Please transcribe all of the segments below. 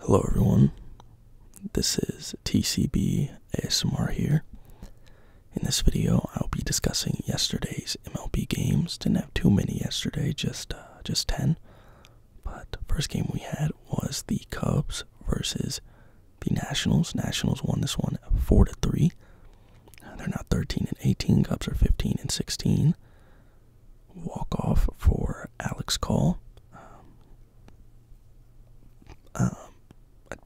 Hello, everyone. This is TCB ASMR here. In this video, I'll be discussing yesterday's MLB games. Didn't have too many yesterday, just uh, just ten. But first game we had was the Cubs versus the Nationals. Nationals won this one four to three. They're not 13 and 18. Cubs are 15 and 16 walk off for Alex Call. Um, um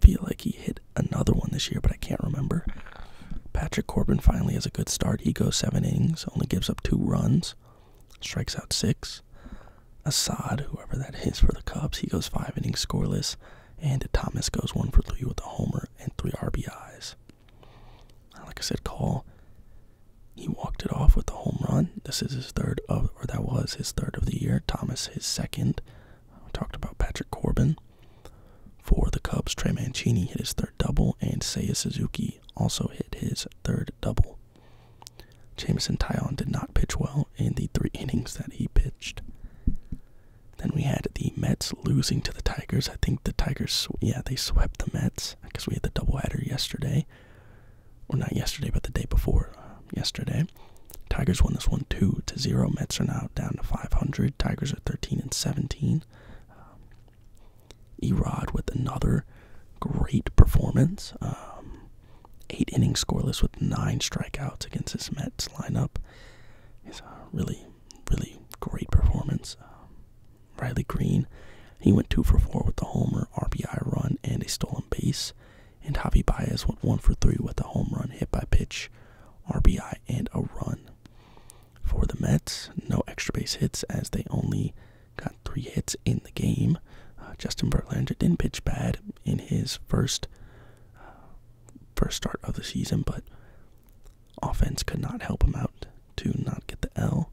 feel like he hit another one this year, but I can't remember. Patrick Corbin finally has a good start. He goes seven innings, only gives up two runs, strikes out six. Assad, whoever that is for the Cubs, he goes five innings scoreless. And Thomas goes one for three with a homer and three RBIs. Like I said, Call. He walked it off with the home run. This is his third of, or that was his third of the year. Thomas his second. talked about Patrick Corbin. For the Cubs, Trey Mancini hit his third double, and Seiya Suzuki also hit his third double. Jameson Tyon did not pitch well in the three innings that he pitched. Then we had the Mets losing to the Tigers. I think the Tigers, yeah, they swept the Mets because we had the doubleheader yesterday or not yesterday, but the day before yesterday. Tigers won this one two to zero. Mets are now down to 500. Tigers are 13 and 17. Um, Erod with another great performance. Um, eight innings scoreless with nine strikeouts against this Mets lineup. It's a really, really great performance. Um, Riley Green, he went two for four with a homer, RBI run, and a stolen base. And Javi Baez went one for three with a home run, hit by pitch, RBI, and a run. For the Mets, no extra base hits as they only got three hits in the game. Uh, Justin Verlander didn't pitch bad in his first uh, first start of the season, but offense could not help him out to not get the L.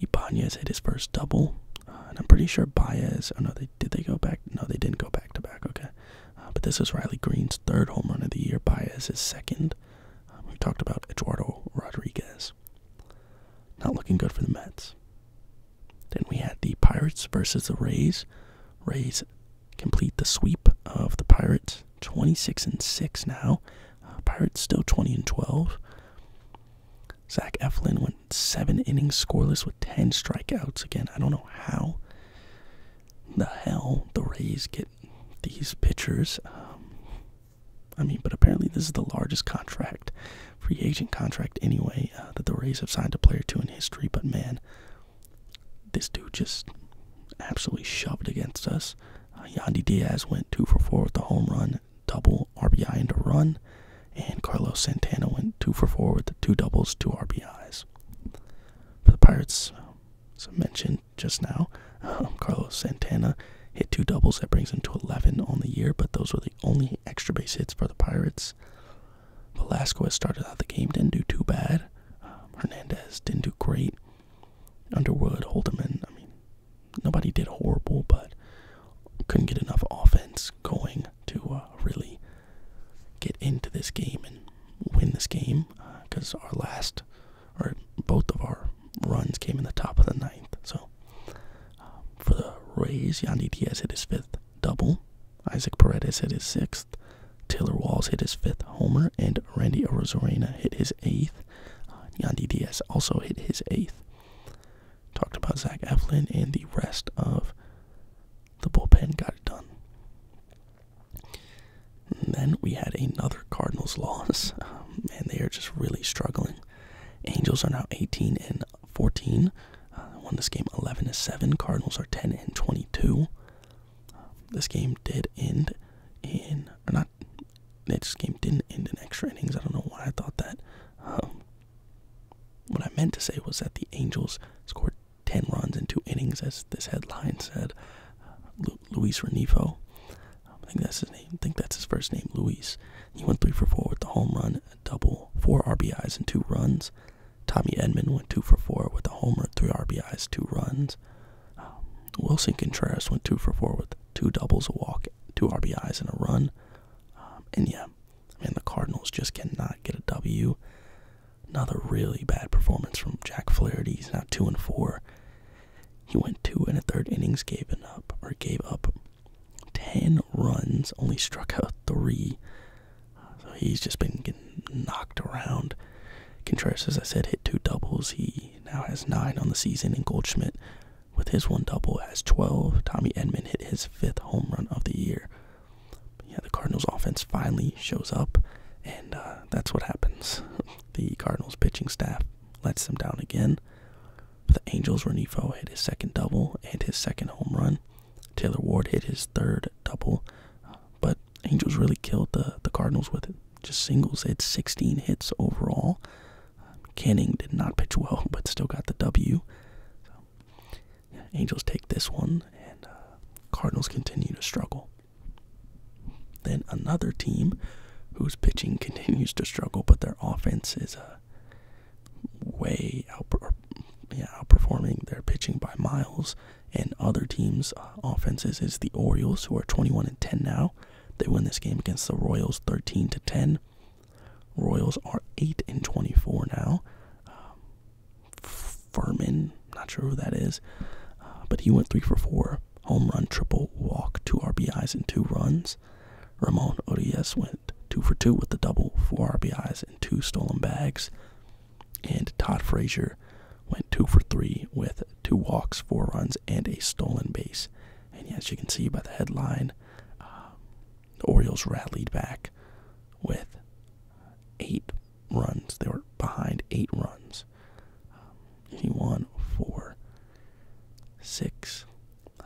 Ibanez hit his first double, uh, and I'm pretty sure Baez. Oh no, they did they go back? No, they didn't go back to back. Okay, uh, but this is Riley Green's third home run of the year. Baez is second. Uh, we talked about Eduardo Rodriguez. Not looking good for the Mets. Then we had the Pirates versus the Rays. Rays complete the sweep of the Pirates, 26 and 6 now. Pirates still 20 and 12. Zach Eflin went seven innings scoreless with 10 strikeouts. Again, I don't know how the hell the Rays get these pitchers. Um, I mean, but apparently this is the largest contract, free agent contract anyway, uh, that the Rays have signed a player to in history. But man, this dude just absolutely shoved against us. Uh, Yandy Diaz went two for four with the home run double RBI and a run, and Carlos Santana went two for four with the two doubles, two RBIs. For the Pirates, as I mentioned just now, um, Carlos Santana hit two doubles. That brings him to 11 on the year, but those were the only extra base hits for the Pirates. Velasquez started out the game, didn't do too bad. Um, Hernandez didn't do great. Underwood, Holderman, I mean, nobody did horrible, but couldn't get enough offense going to uh, really get into this game and win this game. Because uh, our last, or both of our runs came in the top of the ninth. So um, for the Rays, Yandy Diaz hit his fifth double, Isaac Paredes hit his sixth, Taylor Walls hit his fifth homer, and Randy Orozarena hit his eighth. Uh, Yandy Diaz also hit his eighth. Talked about Zach Eflin and the rest of the bullpen got it done. And then we had another Cardinals loss, and they are just really struggling. Angels are now 18 and 14. Uh, won this game 11 to 7. Cardinals are 10 and 22. this game did end in, or not not. game didn't end in extra innings. I don't know why I thought that. Um, what I meant to say was that the Angels scored 10 runs in two innings, as this headline said. Luis Renifo. I think that's his name. think that's his first name, Luis. He went three for four with the home run, a double, four RBIs, and two runs. Tommy Edmond went two for four with a homer, three RBIs, two runs. Um, Wilson Contreras went two for four with two doubles, a walk, two RBIs, and a run. Um, and yeah, I mean, the Cardinals just cannot get a W. Another really bad performance from Jack Flaherty. He's now two and four. He went two and a third innings, gave it up or gave up ten runs, only struck out three. So he's just been getting knocked around. Contreras, as I said, hit two doubles. He now has nine on the season, in Goldschmidt with his one double as 12, Tommy Edmond hit his fifth home run of the year. Yeah, the Cardinals' offense finally shows up, and uh, that's what happens. the Cardinals' pitching staff lets them down again. The Angels' Renifo hit his second double and his second home run. Taylor Ward hit his third double, but Angels really killed the the Cardinals with it. just singles. They had 16 hits overall, um, Canning did not pitch well, but still got the W. Angels take this one, and uh, Cardinals continue to struggle. Then another team whose pitching continues to struggle, but their offense is a uh, way outperforming their pitching by miles. And other teams' uh, offenses is the Orioles, who are 21 and 10 now. They win this game against the Royals 13 to 10. Royals are 8 and 24 now. Um, Furman, not sure who that is, uh, but he went 3 for 4. Home run, triple, walk, two RBIs, and two runs. Ramon Urias went 2 for 2 with the double, four RBIs, and two stolen bags. And Todd Frazier went 2 for 3 with two walks, four runs, and a stolen base. And as you can see by the headline, um, the Orioles rallied back with eight runs. They were behind eight runs. Um, he won four, six, uh,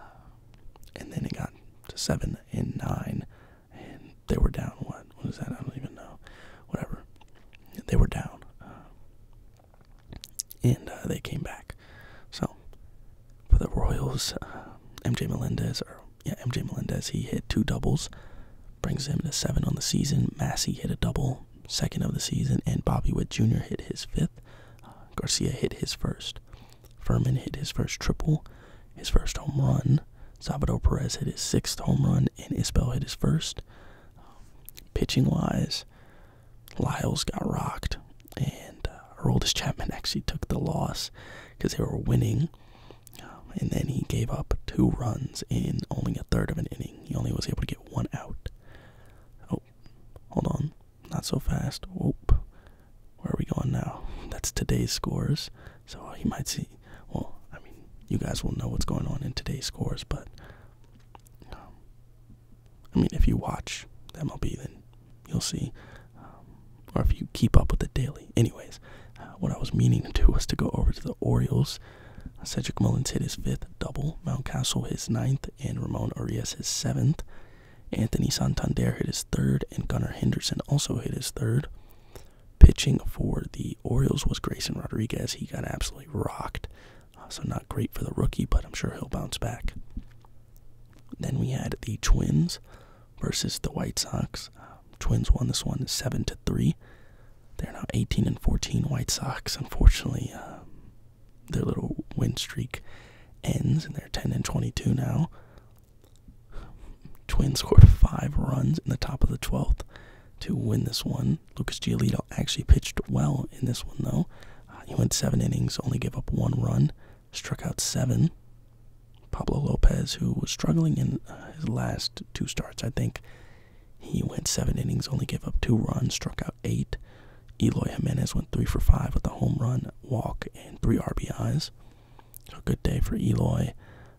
and then it got to seven and nine, and they were down. What? was that? I don't even know. Whatever. They were down. Uh, and uh, they came back. So for the Royals, uh, MJ Melendez yeah, MJ Melendez, he hit two doubles, brings him to seven on the season. Massey hit a double, second of the season, and Bobby Witt Jr. hit his fifth. Garcia hit his first. Furman hit his first triple, his first home run. Salvador Perez hit his sixth home run, and Isbell hit his first. pitching wise, Lyles got rocked, and our uh, oldest Chapman actually took the loss because they were winning. Um, and then he gave up two runs in only a third of an inning. He only was able to get one out. Oh, hold on. Not so fast. Whoop. Where are we going now? That's today's scores. So uh, you might see. Well, I mean, you guys will know what's going on in today's scores, but um, I mean, if you watch MLB, then you'll see, um, or if you keep up with the daily. Anyways, uh, what I was meaning to do was to go over to the Orioles. Cedric Mullins hit his fifth double, Mountcastle his ninth, and Ramon Arias his seventh. Anthony Santander hit his third, and Gunnar Henderson also hit his third. Pitching for the Orioles was Grayson Rodriguez. He got absolutely rocked. Uh, so not great for the rookie, but I'm sure he'll bounce back. Then we had the Twins versus the White Sox. Twins won this one seven to three. They're now 18 and 14. White Sox, unfortunately, uh, their little win streak ends, and they're 10 and 22 now. Twins scored five runs in the top of the 12th to win this one. Lucas Giolito actually pitched well in this one, though. Uh, he went seven innings, only gave up one run, struck out seven. Pablo Lopez, who was struggling in uh, his last two starts, I think he went seven innings, only gave up two runs, struck out eight. Eloy Jimenez went three for five with a home run, walk, and three RBIs. a good day for Eloy.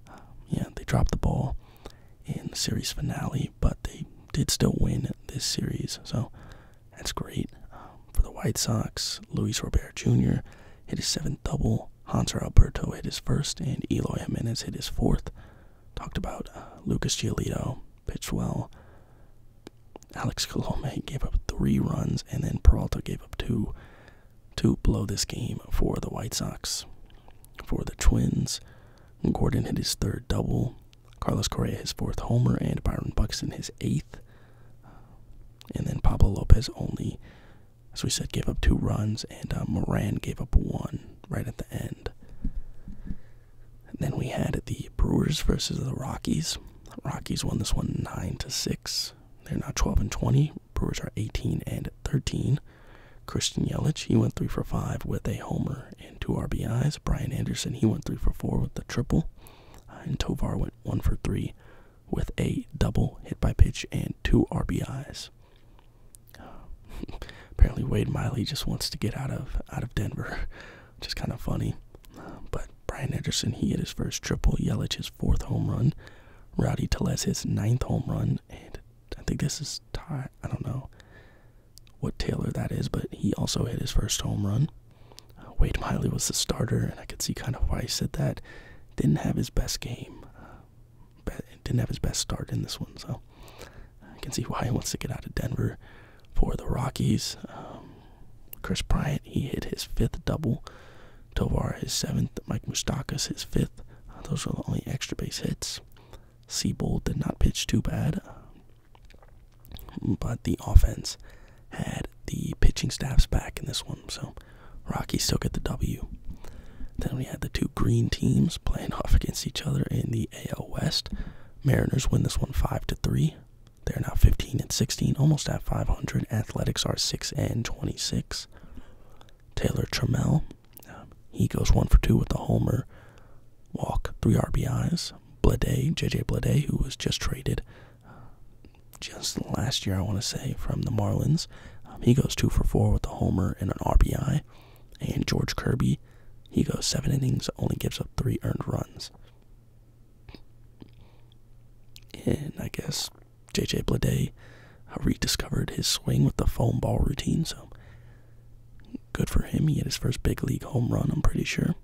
Um, yeah, they dropped the ball in the series finale, but they did still win this series. So, that's great. Um, for the White Sox, Luis Robert Jr. hit his seventh double. Hanser Alberto hit his first, and Eloy Jimenez hit his fourth. Talked about uh, Lucas Giolito, pitched well. Alex Colome gave up three runs, and then Peralta gave up two to blow this game for the White Sox. For the Twins, Gordon hit his third double. Carlos Correa his fourth homer, and Byron Buxton his eighth. Uh, and then Pablo Lopez only, as we said, gave up two runs, and uh, Moran gave up one right at the end. then we had the Brewers versus the Rockies. Rockies won this one nine to six. They're now twelve and twenty. Brewers are eighteen and thirteen. Christian Yelich, he went three for five with a homer and two RBIs. Brian Anderson, he went three for four with the triple. Uh, and Tovar went one for three with a double hit by pitch and two RBIs. apparently, Wade Miley just wants to get out of out of Denver, which is kind of funny. Uh, but Brian Anderson, he hit his first triple. Yelich his fourth home run. Rowdy Teles his ninth home run, and I think this is tie. I don't know what Taylor that is, but he also hit his first home run. Uh, Wait, Miley was the starter, and I could see kind of why he said that. Didn't have his best game, uh, didn't have his best start in this one, so I can see why he wants to get out of Denver for the Rockies. Um, Chris Bryant, he hit his fifth double. Tovar, his seventh. Mike Mustakas his fifth. Uh, those were the only extra base hits. Siebold did not pitch too bad. Um, but the offense had the pitching staffs back in this one, so Rockies still get the W. Then we had the two green teams playing off against each other in the AL West. Mariners win this one five to three. They're now 15 and 16, almost at 500. Athletics are 6 and 26. Taylor Trammell, um, he goes one for two with a homer walk, three RBIs. Blade, JJ Blade, who was just traded uh, just last year, I want to say, from the Marlins. Um, he goes two for four with a homer and an RBI. And George Kirby, he goes seven innings, only gives up three earned runs. And I guess JJ Blade uh, rediscovered his swing with the foam ball routine, so good for him. He had his first big league home run, I'm pretty sure.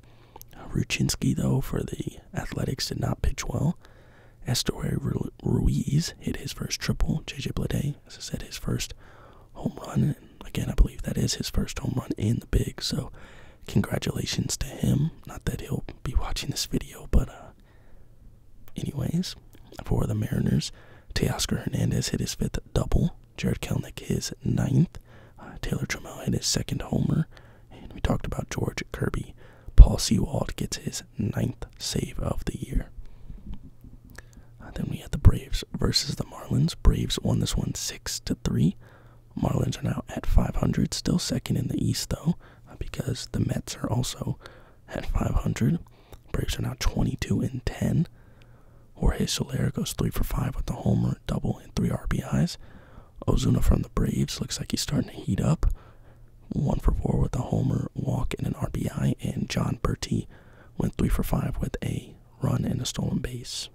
Uh, Ruchinski, though, for the Athletics did not pitch well. Estuary Ruiz hit his first triple. JJ Blade, as I said, his first home run. And again, I believe that is his first home run in the big. So, congratulations to him. Not that he'll be watching this video, but uh, anyways, for the Mariners, Teoscar Hernandez hit his fifth double. Jared Kelnick his ninth. Uh, Taylor Trammell hit his second homer, and we talked about George Kirby. Paul Sewald gets his ninth save of the year. Uh, then we had the Braves versus the Marlins. Braves won this one six to three. Marlins are now at 500, still second in the East though, uh, because the Mets are also at 500. Braves are now 22 and 10. Jorge Soler goes three for five with the homer, double, and three RBIs. Ozuna from the Braves looks like he's starting to heat up. One for four with a homer, walk, and an RBI. And John Bertie went three for five with a run and a stolen base.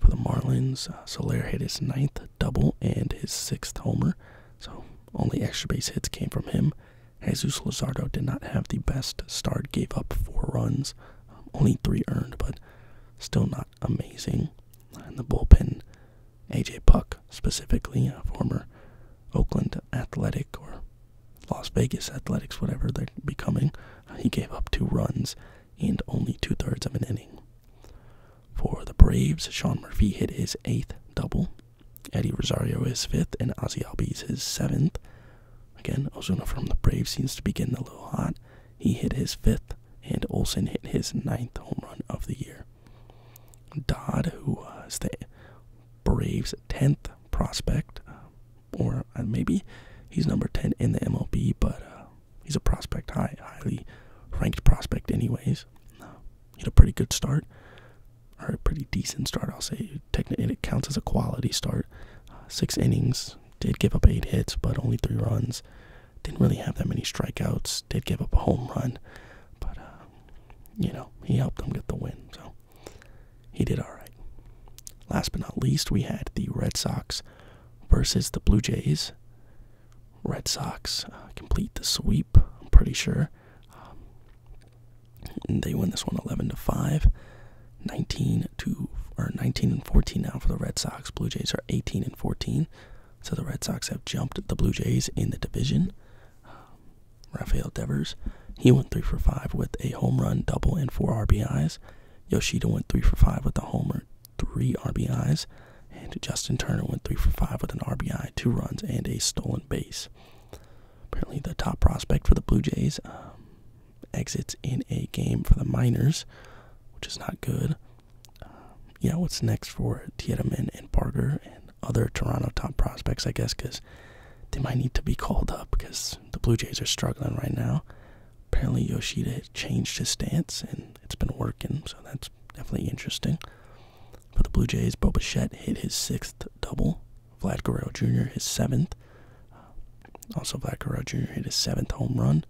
For the Marlins, uh, Solaire hit his ninth double and his sixth homer. So only extra base hits came from him. Jesus Lazardo did not have the best start, gave up four runs, only three earned, but still not amazing in the bullpen. AJ Puck, specifically a former Oakland Athletic or Las Vegas Athletics, whatever they're becoming, he gave up two runs and only two thirds of an inning. For the Braves, Sean Murphy hit his eighth double. Eddie Rosario his fifth, and Ozzy Albies his seventh. Again, Ozuna from the Braves seems to be getting a little hot. He hit his fifth, and Olson hit his ninth home run of the year. Dodd, who was the Braves' 10th prospect, uh, or uh, maybe he's number 10 in the MLB, but uh, he's a prospect, high, highly ranked prospect, anyways. he had a pretty good start, or a pretty decent start, I'll say. it counts as a quality start. six innings, did give up eight hits, but only three runs. Didn't really have that many strikeouts. Did give up a home run, but uh, you know he helped them get the win, so he did all right. Last but not least, we had the Red Sox versus the Blue Jays. Red Sox uh, complete the sweep. I'm pretty sure um, they win this one 11 to five. 19 to or 19 14 now for the Red Sox. Blue Jays are 18 and 14. So the Red Sox have jumped the Blue Jays in the division. Um, Rafael Devers, he went 3 for 5 with a home run, double, and 4 RBIs. Yoshida went 3 for 5 with a homer, 3 RBIs. And Justin Turner went 3 for 5 with an RBI, 2 runs, and a stolen base. Apparently, the top prospect for the Blue Jays um, exits in a game for the Miners, which is not good. Um, yeah, what's next for Tiedemann and Parker and other Toronto top prospects, I guess, because they might need to be called up because the Blue Jays are struggling right now. Apparently, Yoshida changed his stance and it's been working, so that's definitely interesting. For the Blue Jays, Bobuchet hit his sixth double, Vlad Guerrero Jr. his seventh. Um, also, Vlad Guerrero Jr. hit his seventh home run.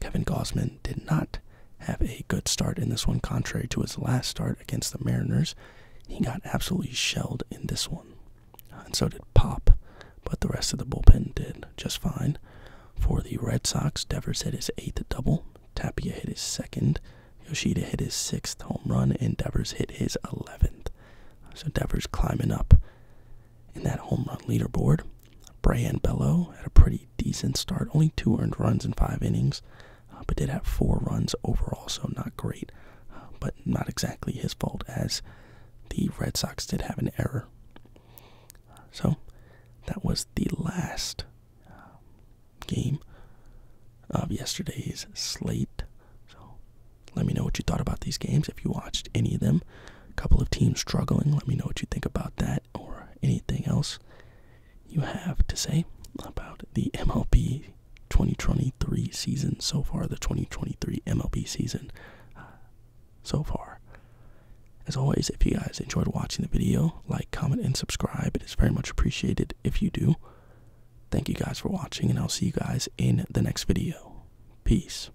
Kevin Gosman did not have a good start in this one, contrary to his last start against the Mariners. He got absolutely shelled in this one. And so did Pop, but the rest of the bullpen did just fine. For the Red Sox, Devers hit his eighth double, Tapia hit his second, Yoshida hit his sixth home run, and Devers hit his 11th. So Devers climbing up in that home run leaderboard. Brian Bello had a pretty decent start, only two earned runs in five innings, uh, but did have four runs overall, so not great, uh, but not exactly his fault as the Red Sox did have an error. So that was the last um, game of yesterday's slate. So let me know what you thought about these games if you watched any of them a couple of teams struggling. Let me know what you think about that or anything else you have to say about the MLB 2023 season so far, the 2023 MLB season uh, so far. As always, if you guys enjoyed watching the video, like, comment, and subscribe. It is very much appreciated if you do. Thank you guys for watching, and I'll see you guys in the next video. Peace.